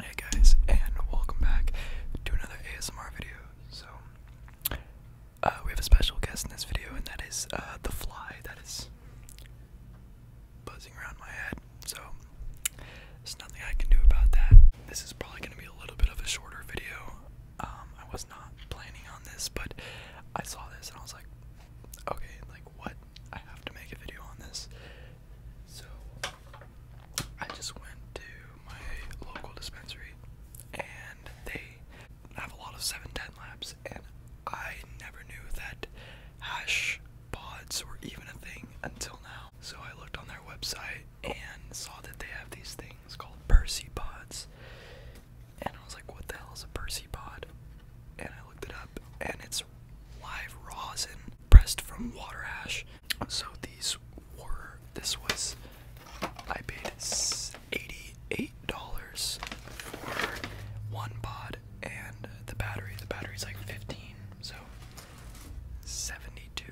Hey guys, and welcome back to another ASMR video. So, uh, we have a special guest in this video, and that is uh, the fly that is buzzing around my head. So, there's nothing I can do about that. This is probably going to be a little bit of a shorter video. Um, I was not planning on this, but I saw this and I was like, okay, like what? I have to make a video on this. So I just went to my local dispensary and they have a lot of 710 labs and I never knew that hash pods were even a thing until now. So I looked on their website and saw that they have these things called Percy pods. And I was like, what the hell is a Percy pod? And I looked it up and it's live rosin pressed from water ash. So these were, this was, I paid $88 for one pod and the battery. The battery's like 15, so 72.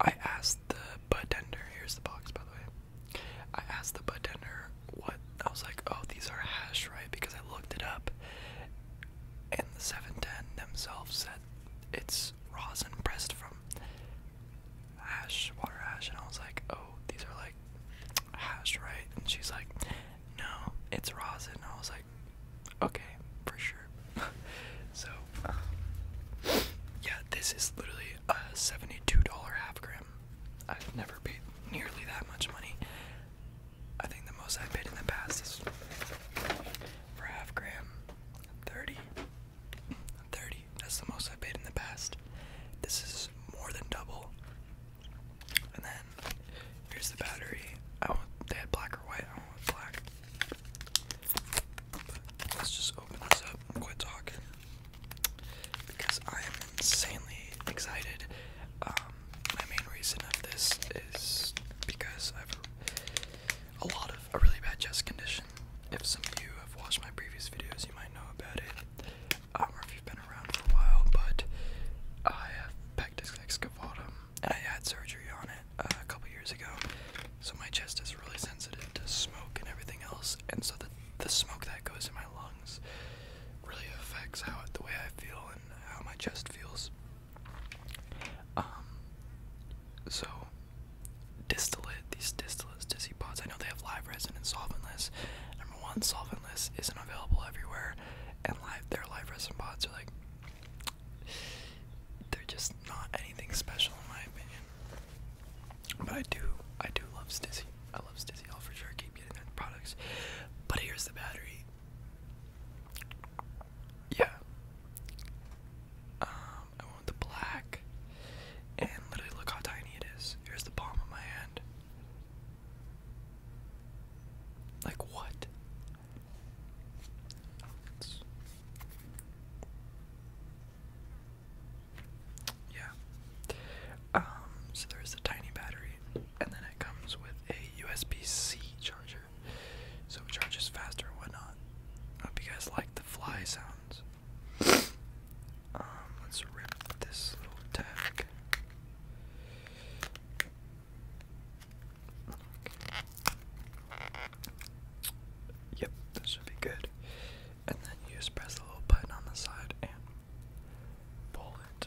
I asked the bartender, here's the box by the way. I asked the bartender what, I was like, oh, these are hash, right? Because I looked it up and the 710 themselves said it's rosin pressed from ash, water ash, and I was like, oh, these are like hash, right? And she's like, no, it's rosin. And I was like, okay, for sure. so, yeah, this is literally a $72 half gram. I've never paid nearly that much money I think the most I have paid in the past is for half gram, 30. That's the most I have paid in the past. This is more than double. And then here's the battery. I want they had black or white. I want black. let's just open this up and quit talking because I am insanely excited. Um, my main reason of this is because I have a, lot of a really bad chest condition. If some of you have watched my previous videos, you might know about it, um, or if you've been around for a while. But I have pectus excavatum, and I had surgery on it uh, a couple years ago. So my chest is really sensitive to smoke and everything else, and so the the smoke that goes in my lungs really affects how the way I feel how my chest feels. Um, so, distillate, these distillates, dizzy pods, I know they have live resin and solventless. Number one, solventless isn't available everywhere, and live their live resin pods are like, they're just not anything special in my opinion. But I do, I do love Stizzy. I love Stizzy. all for sure keep getting their products. But here's the battery. Yeah. Um, I want the black. And literally look how tiny it is. Here's the palm of my hand. Like what? Yeah. Um, so there's the tiny battery and then it comes with a USB-C charger, so it charges faster and whatnot. hope you guys like the fly sounds. Um, let's rip this little tag. Yep, this should be good. And then you just press the little button on the side and Bullet.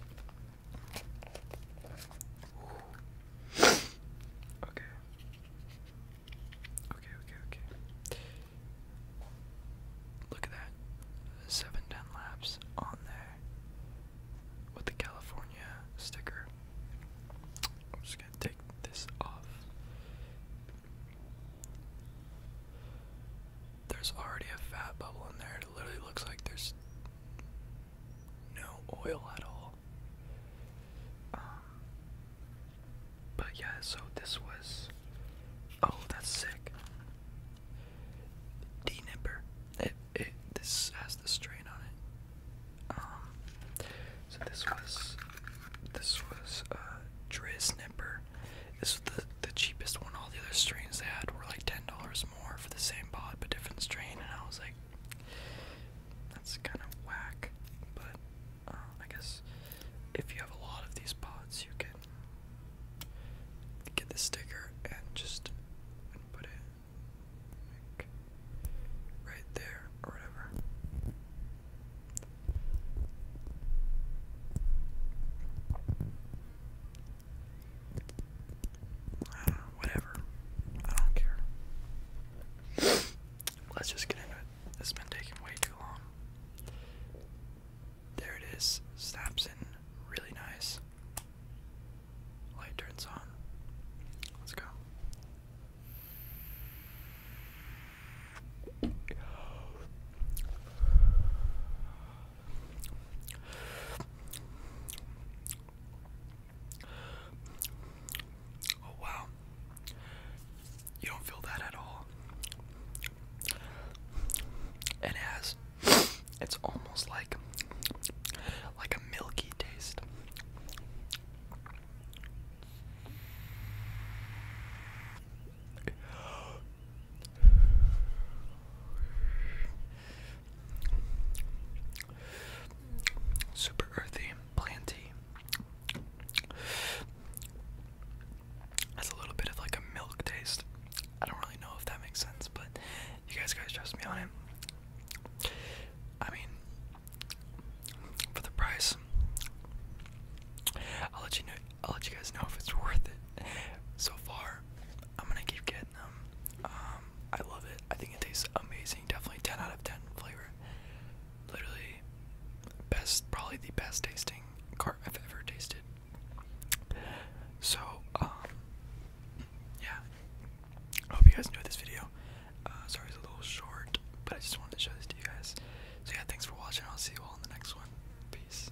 Ooh. Okay. Okay, okay, okay. Look at that. 710 laps on there with the California sticker. I'm just gonna take this off. There's already a fat bubble in there, there. It literally looks like there's no oil at all. Um, but yeah, so this was. Oh, that's sick. D nipper. It it this has the strain on it. Um, so this was this was uh Driz nipper. This was the the cheapest one. All the other strains they had were like ten dollars more for the same pod but different strain, and I was like, that's kind of whack. But uh, I guess if you have a lot of these pods, you can get the sticker and just put it right there or whatever whatever. I don't care. Let's just get into it. This has been taking way too long. There it is. Snaps in really nice. Light turns on. Let's go. Oh, wow. You don't feel that at all. It has, it's almost like, like a milky taste. Super earthy, planty. That's a little bit of like a milk taste. I don't really know if that makes sense, but you guys guys trust me on it. I mean, for the price, I'll let you know. I'll let you guys know if it's worth it. So far, I'm gonna keep getting them. Um, I love it. I think it tastes amazing. Definitely 10 out of 10 flavor. Literally, best, probably the best tasting cart I've ever tasted. So, um, yeah. I hope you guys enjoyed this video. Uh, sorry it's a little short, but I just wanted to show this to you guys. So yeah, thanks for watching. I'll see you all in the next one. Peace.